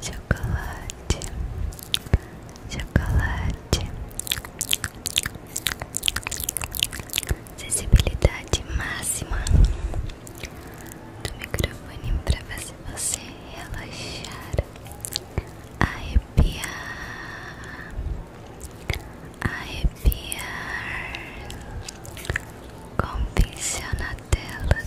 chocolate, chocolate, sensibilidade máxima do microfone para fazer você relaxar, a arrepiar. Com pincel na tela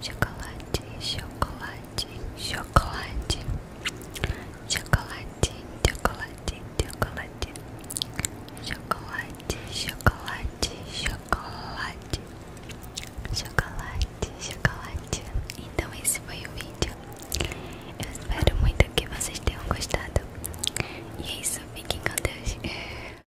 chocolate, chocolate, chocolate, chocolate, chocolate, chocolate, chocolate, chocolate, chocolate, chocolate, chocolate. Então esse foi o vídeo. Eu espero muito que vocês tenham gostado. E é isso, fiquem com Deus. É.